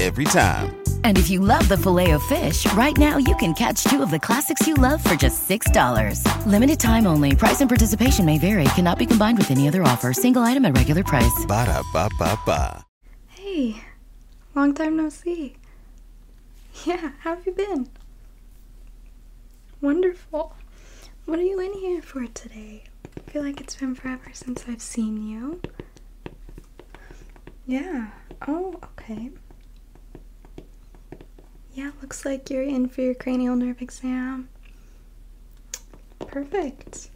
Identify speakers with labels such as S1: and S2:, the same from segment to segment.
S1: every time.
S2: And if you love the filet of fish, right now you can catch two of the classics you love for just $6. Limited time only. Price and participation may vary. Cannot be combined with any other offer. Single item at regular price.
S1: Ba da ba ba ba.
S2: Hey, long time no see. Yeah, how have you been? Wonderful. What are you in here for today? I feel like it's been forever since I've seen you. Yeah. Oh, okay. Yeah, looks like you're in for your cranial nerve exam. Perfect.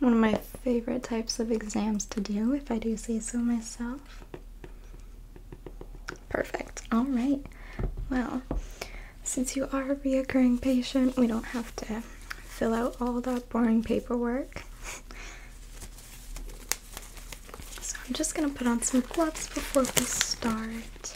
S2: One of my favorite types of exams to do, if I do say so myself. Perfect. All right. Well, since you are a reoccurring patient, we don't have to fill out all that boring paperwork. So I'm just going to put on some gloves before we start.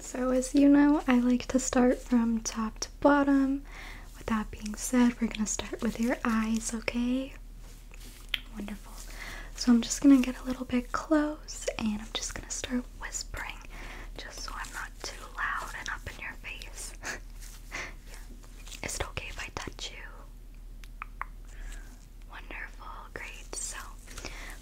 S2: So, as you know, I like to start from top to bottom. With that being said, we're gonna start with your eyes, okay? Wonderful. So, I'm just gonna get a little bit close and I'm just gonna start whispering just so I'm not too
S3: loud and up in your face. Is it okay if I touch you? Wonderful grades. So,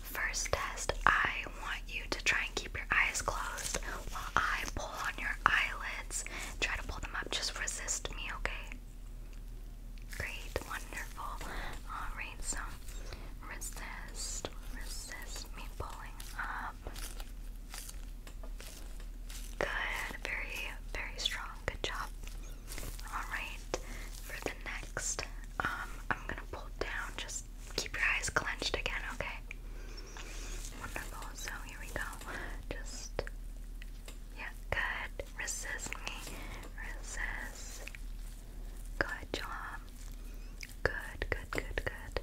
S3: first test, I want you to try and keep your eyes closed while I pull on your eyelids. Try to pull them up, just resist me, okay? Great, wonderful. Alright, so resist, resist me pulling up. Good, very, very strong. Good job. Alright, for the next, um, I'm gonna pull down just keep your eyes clenched again, okay? Wonderful. So here we go. Just yeah, good. Resist me. Resist. Good job. Good, good, good, good.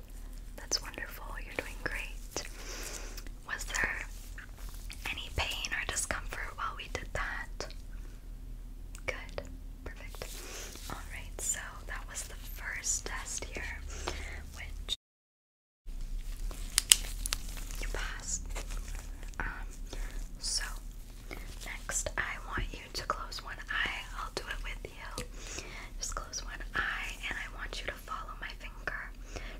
S3: That's wonderful. You're doing great. Was there any pain or discomfort while we did that? Good. Perfect. Alright, so that was the first test here, which you passed. Um, so next I want you to close one eye. I'll do it with you. Just close one eye and I want you to follow my finger.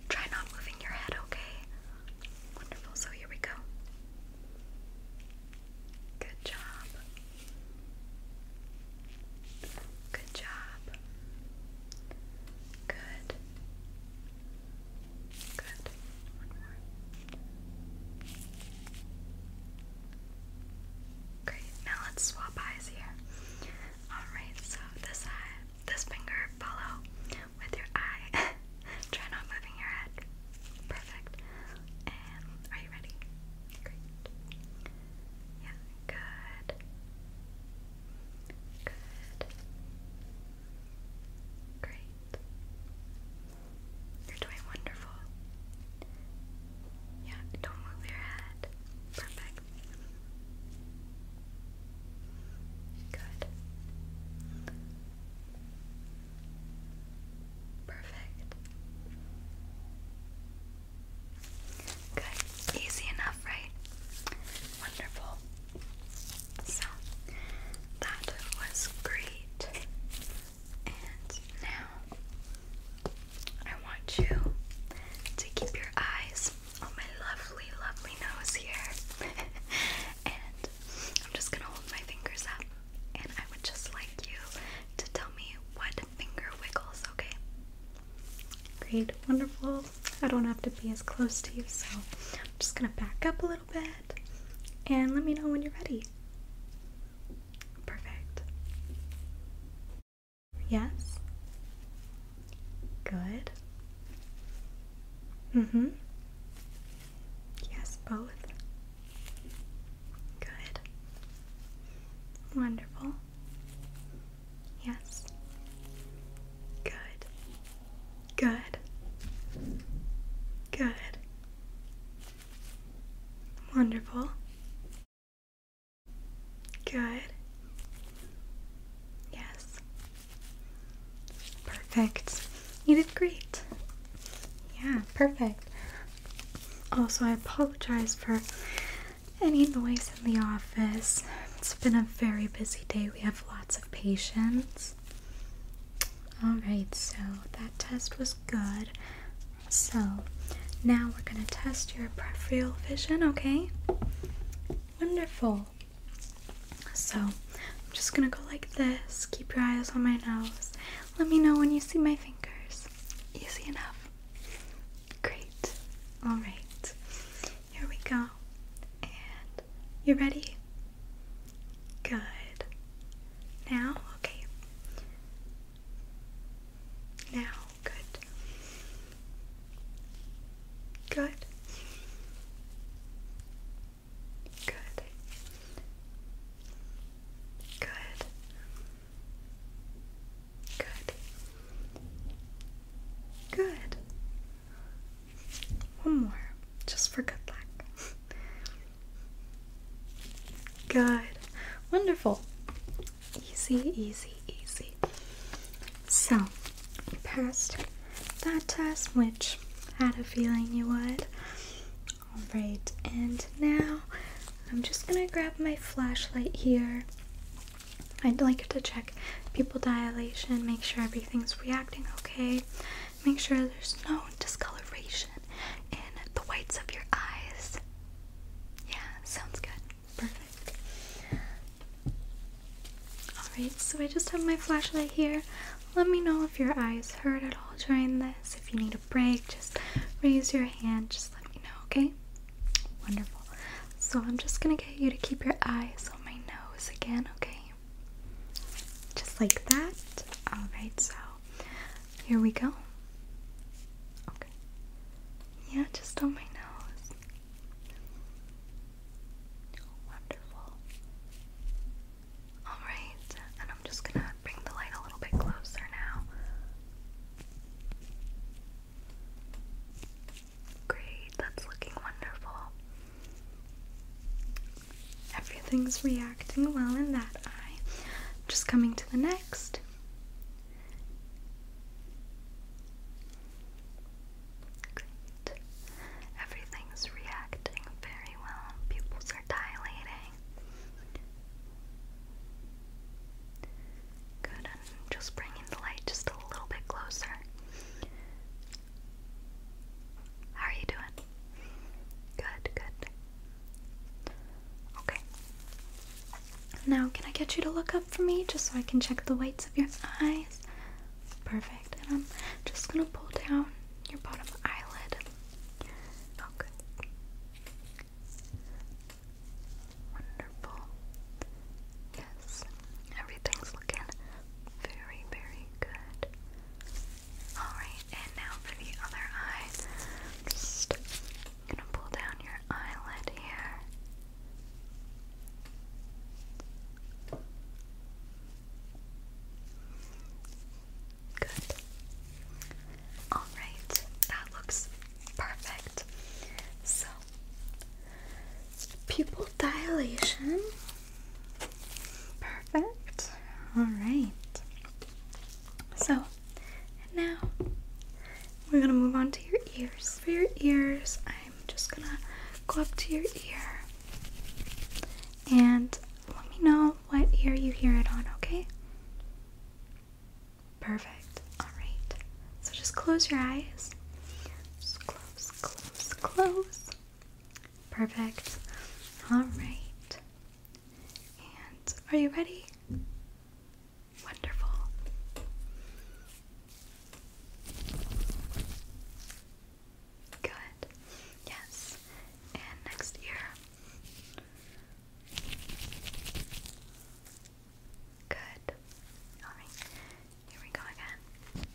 S3: Try not moving your head, okay? Wonderful. So here we go. Good job. Good job. Good. Good. Great. Now let's swap eyes here. Alright, so this eye, this finger, follow with your eye. Try not moving your head. Perfect. And are you ready? Great. Yeah, good. Good. Great. You're doing wonderful. Yeah, don't move your head. Perfect. Good. Perfect. Good. Easy enough, right? Wonderful. So, that was great. And now, I want you to keep your eyes on my lovely, lovely nose here. and I'm just gonna hold my fingers up and I would just like you to tell me what finger wiggles,
S2: okay? Great, wonderful. I don't have to be as close to you, so I'm just gonna back up a little bit and let me know when you're ready. Perfect. Yes? Good. Mm hmm. Yes, both. Good. Wonderful. Yes. Good. Good. Good. Wonderful. Good. Yes. Perfect. You did great. Yeah, perfect. Also, I apologize for any noise in the office. It's been a very busy day. We have lots of patients. Alright, so that test was good. So, now we're going to test your peripheral vision, okay? Wonderful. So, I'm just going to go like this. Keep your eyes on my nose. Let me know when you see my fingers. Easy enough. Great. Alright. Here we go. And you ready? Good. Now? Okay. Now. Good. Good. Good. Good. Good. Good. One more, just for good luck. Good. Wonderful. Easy, easy, easy. So, you passed that test, which I had a feeling you would. Alright, and now I'm just gonna grab my flashlight here. I'd like to check pupil dilation, make sure everything's reacting okay, make sure there's no discoloration in the whites of your eyes. Yeah, sounds good. Perfect. Alright, so I just have my flashlight here. Let me know if your eyes hurt at all during this, if you need break, just raise your hand, just let me know, okay? Wonderful. So I'm just gonna get you to keep your eyes on my nose again, okay? Just like that. Alright, so here we go. Okay. Yeah, just on my nose. Wonderful. Alright, and I'm just gonna bring the light a little bit closer now. Great, that's looking wonderful. Everything's reacting well in that eye. Just coming to the next.
S3: Great. Everything's reacting very well. Pupils are dilating. Good, just bringing the light just a little bit closer. How are you doing? Good, good.
S2: Okay. Now, can I get you to look up for me just so I can check the whites of your eyes? Perfect. And I'm just gonna pull down your bottom eyelid. Okay. Oh, Wonderful. Yes, everything's looking very, very good. Alright, and now for the other eye. just gonna pull down your eyelid here. Good. Alright, that looks perfect. So, pupil dilation. Perfect. Alright. So, now we're going to move on to your ears. For your ears, I'm just going to go up to your ear and let me know what ear you hear it on, okay? Perfect. Alright. So just close your eyes. close, close, close. Perfect. Alright. And are you ready? Wonderful. Good. Yes. And next ear. Good. Alright, here we go again.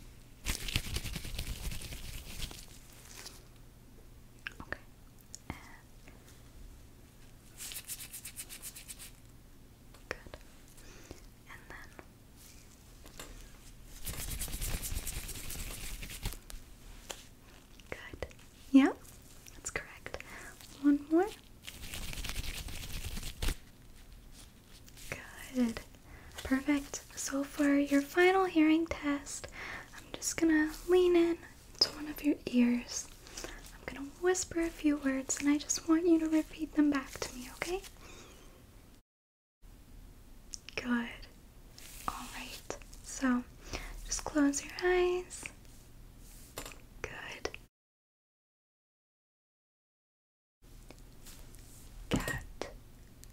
S2: Okay. good. And then Good. Yeah, that's correct. One more. Good. Perfect. So for your final hearing test, I'm just gonna lean in to one of your ears. I'm gonna whisper a few words and I just want you to repeat them back to me, okay? Good. Alright. So just close your
S3: eyes Good. Cat,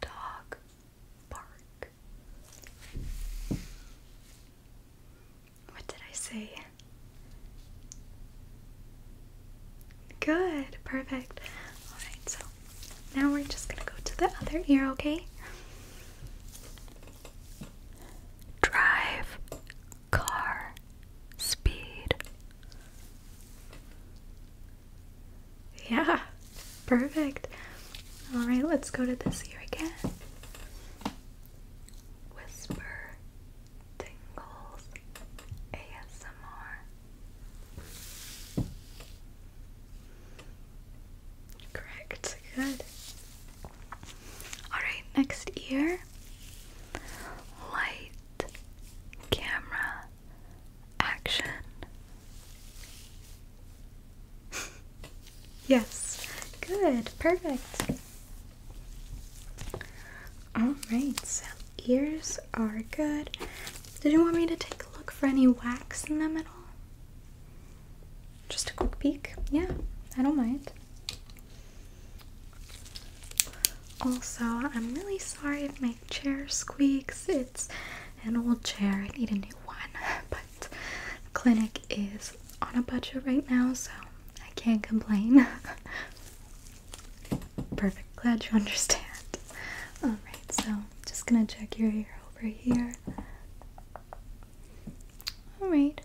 S2: dog, bark. What did I say? Good, perfect. Alright, so now we're just gonna go to the other ear, okay?
S3: Drive,
S2: car, speed. Yeah, perfect. All right, let's go to this here again. Whisper, tingles, ASMR. Correct. Good. Alright, next ear. Light,
S3: camera,
S2: action. yes, good, perfect. Alright, so ears are good. Did you want me to take a look for any wax in them at all? Just a quick peek. Yeah, I don't mind. Also, I'm really sorry if my chair squeaks. It's an old chair. I need a new one. But clinic is on a budget right now, so I can't complain. Perfect. Glad you understand. Alright, so just gonna check your ear over here. Alright,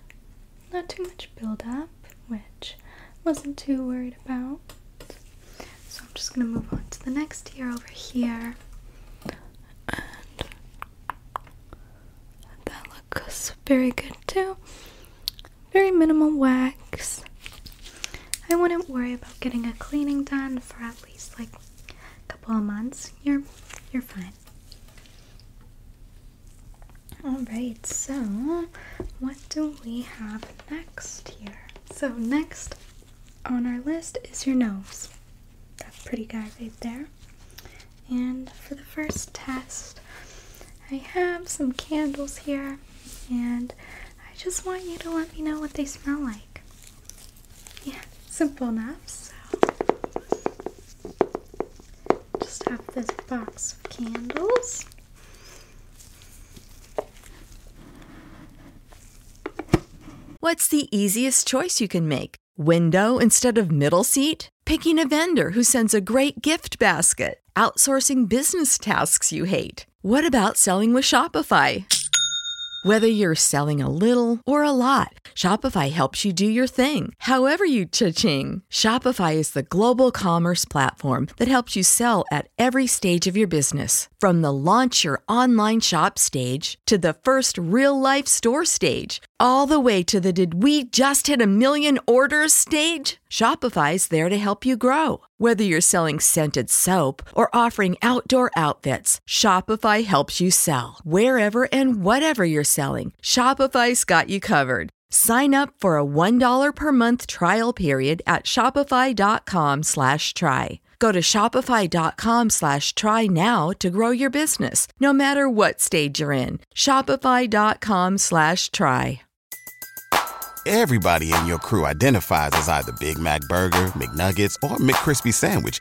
S2: not too much build up, which wasn't too worried about. So I'm just gonna move on to the next ear over here. And that looks very good too. Very minimal wax. I wouldn't worry about getting a cleaning done for at least like a couple of months. You're you're fine. Alright, so what do we have next here? So, next on our list is your nose. That pretty guy right there. And for the first test, I have some candles here, and I just want you to let me know what they smell like. Yeah, simple enough. Just have this box of candles.
S4: What's the easiest choice you can make? Window instead of middle seat? Picking a vendor who sends a great gift basket? Outsourcing business tasks you hate? What about selling with Shopify? Whether you're selling a little or a lot, Shopify helps you do your thing However you cha-ching, Shopify is the global commerce platform that helps you sell at every stage of your business. From the launch your online shop stage to the first real life store stage, all the way to the did we just hit a million orders stage? Shopify is there to help you grow. Whether you're selling scented soap or offering outdoor outfits, Shopify helps you sell. Wherever and whatever you're selling, Shopify's got you covered. Sign up for a $1 per month trial period at shopify.com slash try. Go to shopify.com slash try now to grow your business, no matter what stage you're in. Shopify.com slash try.
S1: Everybody in your crew identifies as either Big Mac Burger, McNuggets, or McCrispy Sandwich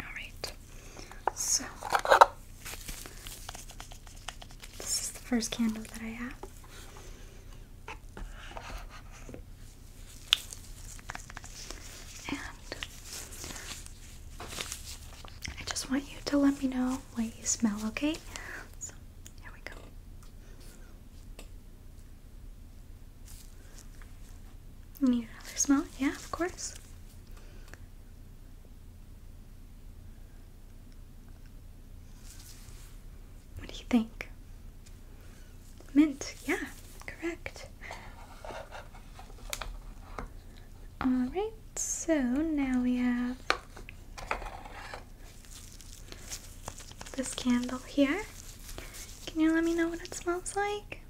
S2: All right. So this is the first candle that I have. And I just want you to let me know what you smell, okay? Here we go. Need another smell? Yeah, of course. What do you think? Mint, yeah, correct. Alright, so now we have this candle here. Can you let me know what it smells like?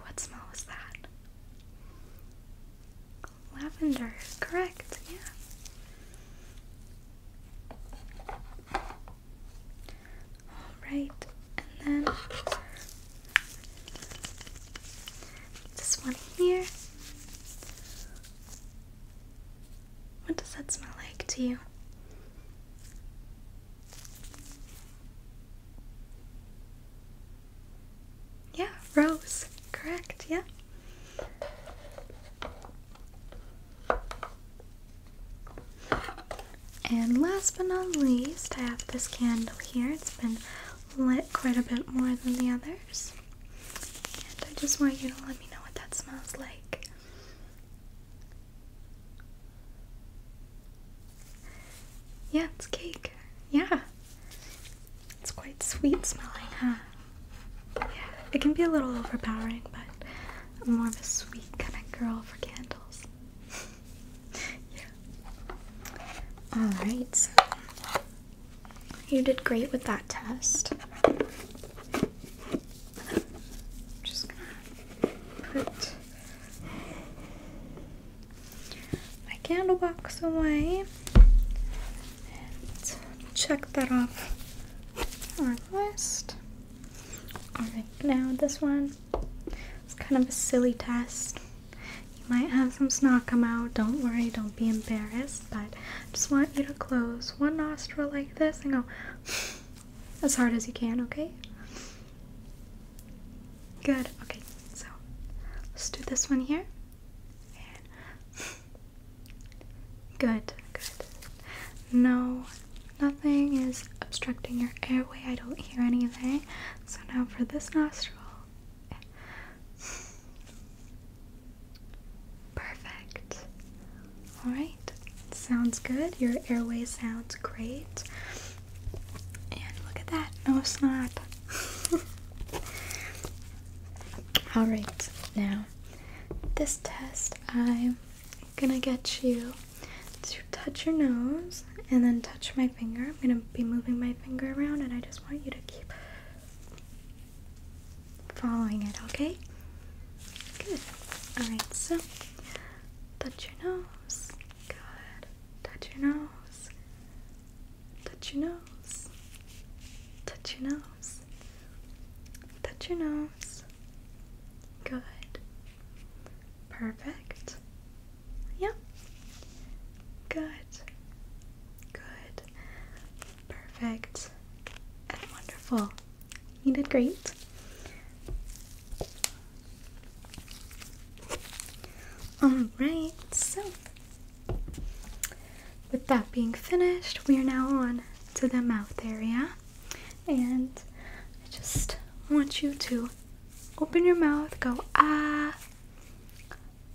S3: What smell was
S2: that? Lavender, correct, yeah. Alright, and then this one here. What does that smell like to you? Yeah, rose. Correct, yeah. And last but not least, I have this candle here. It's been lit quite a bit more than the others. And I just want you to let me know what that smells like. Yeah, it's cake. Yeah. It's quite sweet smelling, huh? Yeah, it can be a little overpowering, but I'm more of a sweet kind of girl for candles. you Alright, you did great with that test. just gonna put my candle box away and check that off our list. Alright, now this one it's kind of a silly test. You might have some snark come out. Don't worry, don't be embarrassed. But I just want you to close one nostril like this and go as hard as you can, okay? Good. Okay, so let's do this one here. good, good. No, nothing is obstructing your airway. I don't hear anything. So now for this nostril. Perfect. All right. Sounds good. Your airway sounds great. And look at that. No snap. All right. Now, this test I'm going to get you to touch your nose and then touch my finger. I'm going to be moving my finger around and I just want you to keep following it, okay? Good. Alright, so touch your nose. Good. Touch your nose. Touch your nose. Touch your nose. Touch your nose. Good. Perfect. Yep. Good. Good. Perfect. And wonderful. You did great. Alright, so with that being finished, we are now on to the mouth area. And I just want you to open your mouth, go ah,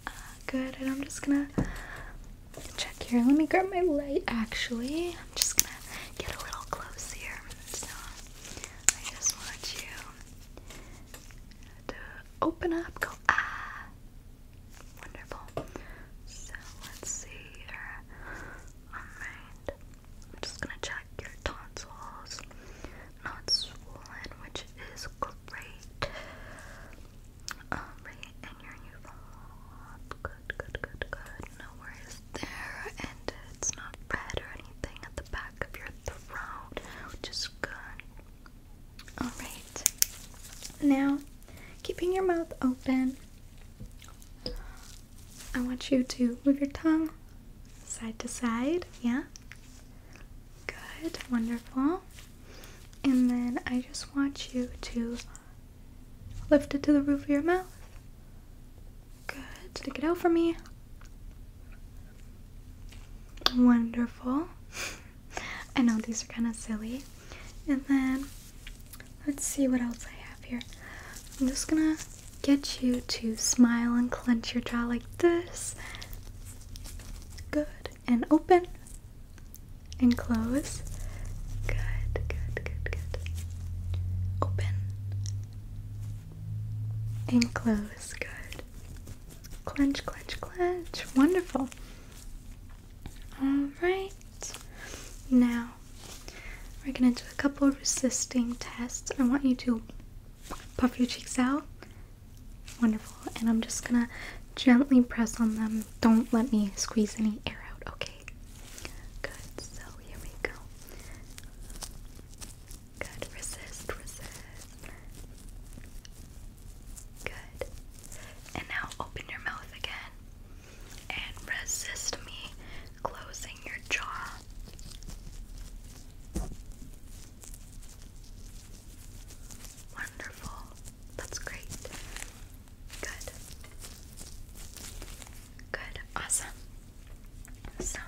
S2: ah. Good, and I'm just gonna check here. Let me grab my light actually. I'm just gonna get a little close here. So I
S3: just want you to open up, go ah. Wonderful. So let's see here. Alright. I'm just gonna check your tonsils not swollen, which is great. Alright, um, and your new Good, good, good, good. No worries there. And it's not red or anything at the back of your throat, which is good.
S2: Alright. Now, keeping your mouth open, I want you to move your tongue side to side. Yeah? Good, wonderful. And then I just want you to lift it to the roof of your mouth. Good, stick it out for me. Wonderful. I know these are kind of silly. And then let's see what else I have here. I'm just gonna get you to smile and clench your jaw like this. Good. And open and close. Good, good, good, good. Open and close. Good. Clench, clench, clench. Wonderful. All right. Now, we're going to do a couple resisting tests. I want you to puff your cheeks out. Wonderful. And I'm just gonna gently press on them. Don't let me squeeze any air out, okay? Good. So here we go.
S3: Good. Resist, resist. Good. And now open your mouth again. And resist me closing your jaw. Wonderful. That's great. Good. Good. Awesome. So,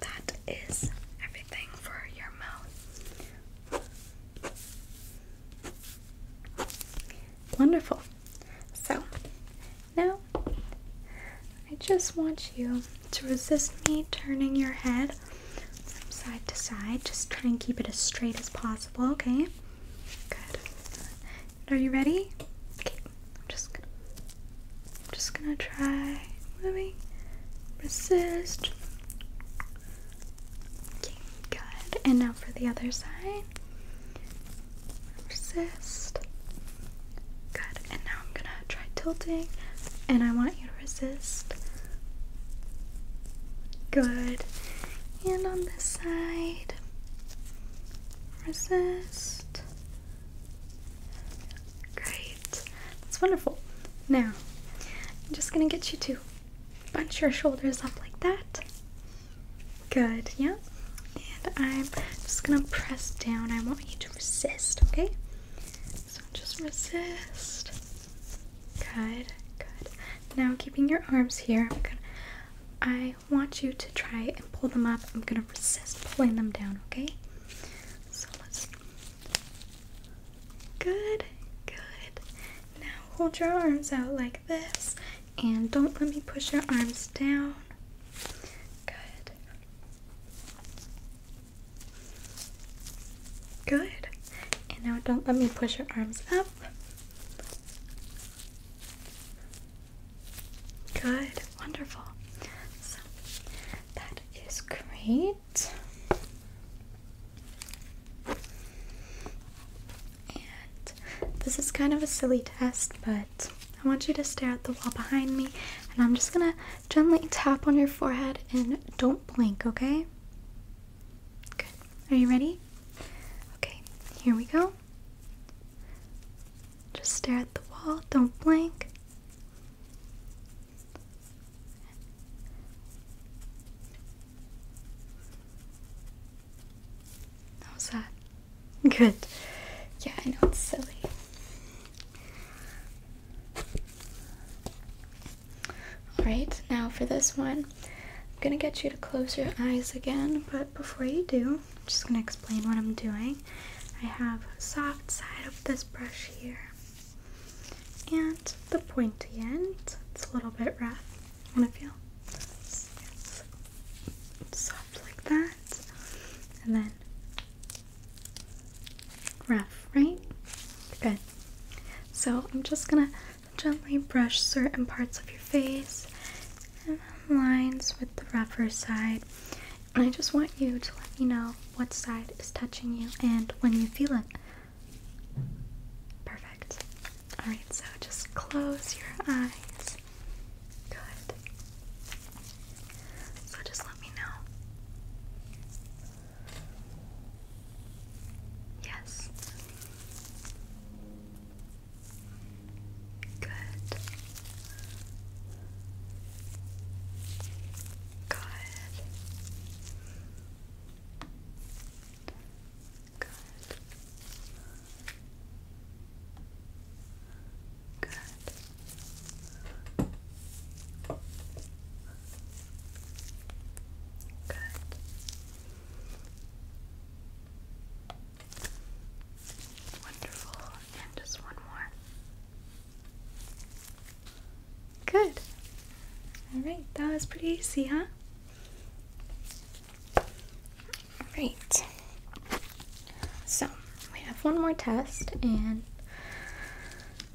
S3: that is everything for your mouth.
S2: Wonderful. So, now I just want you to resist me turning your head from side to side. Just try and keep it as straight as possible, okay? Good. are you ready? Okay, I'm just gonna, I'm just gonna try moving. Resist. Okay, good. And now for the other side. Resist. Good, and now I'm gonna try tilting, and I want you to resist. Good, and on this side, resist. Great, that's wonderful. Now, I'm just gonna get you to bunch your shoulders up like that. Good, yeah. And I'm just gonna press down. I want you to resist, okay? So just resist. Good, good. Now keeping your arms here, i want you to try and pull them up. I'm gonna resist pulling them down, okay? So let's good, good. Now hold your arms out like this and don't let me push your arms down. Good. Good. And now don't let me push your arms up. Good. Wonderful. So that is great. And this is kind of a silly test, but I want you to stare at the wall behind me, and I'm just gonna gently tap on your forehead and don't blink, okay? Good. Are you ready? Okay, here we go. Just stare at the wall, don't blink. How's that? Good. Yeah, I know it's silly. Alright, now for this one, I'm gonna get you to close your eyes again, but before you do, I'm just gonna explain what I'm doing. I have a soft side of this brush here and the pointy end. It's a little bit rough. I'm to feel it's soft like that. And then Rough, right? Good. So I'm just gonna gently brush certain parts of your face and lines with the rougher side. And I just want you to let me know what side is touching you and when you feel it. Perfect. Alright, so just close your eyes. Good. So just let me know.
S3: Yes. Good. Good. Good. Good. Good. Wonderful. And just one more.
S2: Good. Alright, that was pretty easy, huh? Alright. So, we have one more test, and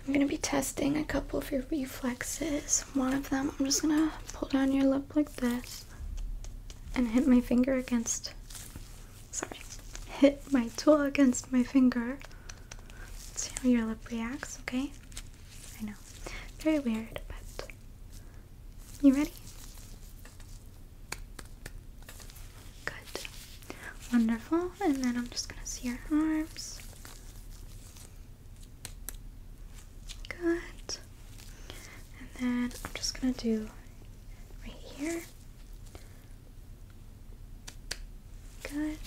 S2: I'm gonna be testing a couple of your reflexes. One of them, I'm just gonna pull down your lip like this and hit my finger against. Sorry, hit my tool against my finger. see how your lip reacts, okay? I know. Very weird, but. You ready? Good. Wonderful. And then I'm just going to see your arms. Good. And then I'm just going to do right here. Good.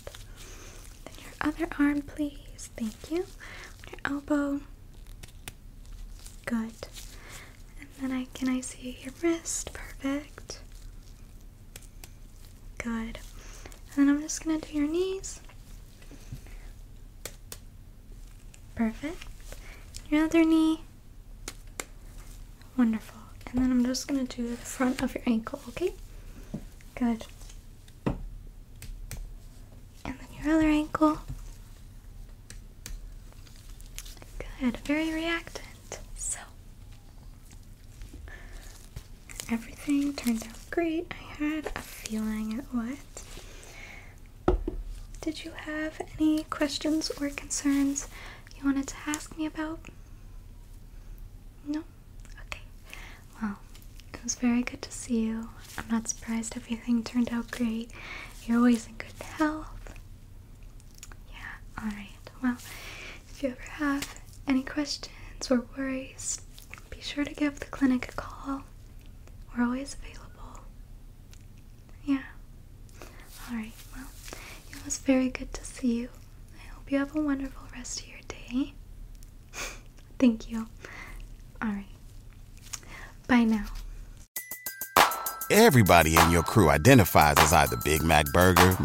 S2: Then your other arm, please. Thank you. Your elbow. Good. And then I can I see your wrist? Perfect. Good. And then I'm just gonna do your knees. Perfect. Your other knee. Wonderful. And then I'm just gonna do the front of your ankle, okay? Good. And then your other ankle. Good. Very reactant. So Everything turned out great. I had a feeling it would. Did you have any questions or concerns you wanted to ask me about? No? Okay. Well, it was very good to see you. I'm not surprised everything turned out great. You're always in good health. Yeah, alright. Well, if you ever have any questions or worries, be sure to give the clinic a call. We're always available. Yeah. Alright, well, it was very good to see you. I hope you have a wonderful rest of your day. Thank you. Alright. Bye now.
S1: Everybody in your crew identifies as either Big Mac Burger,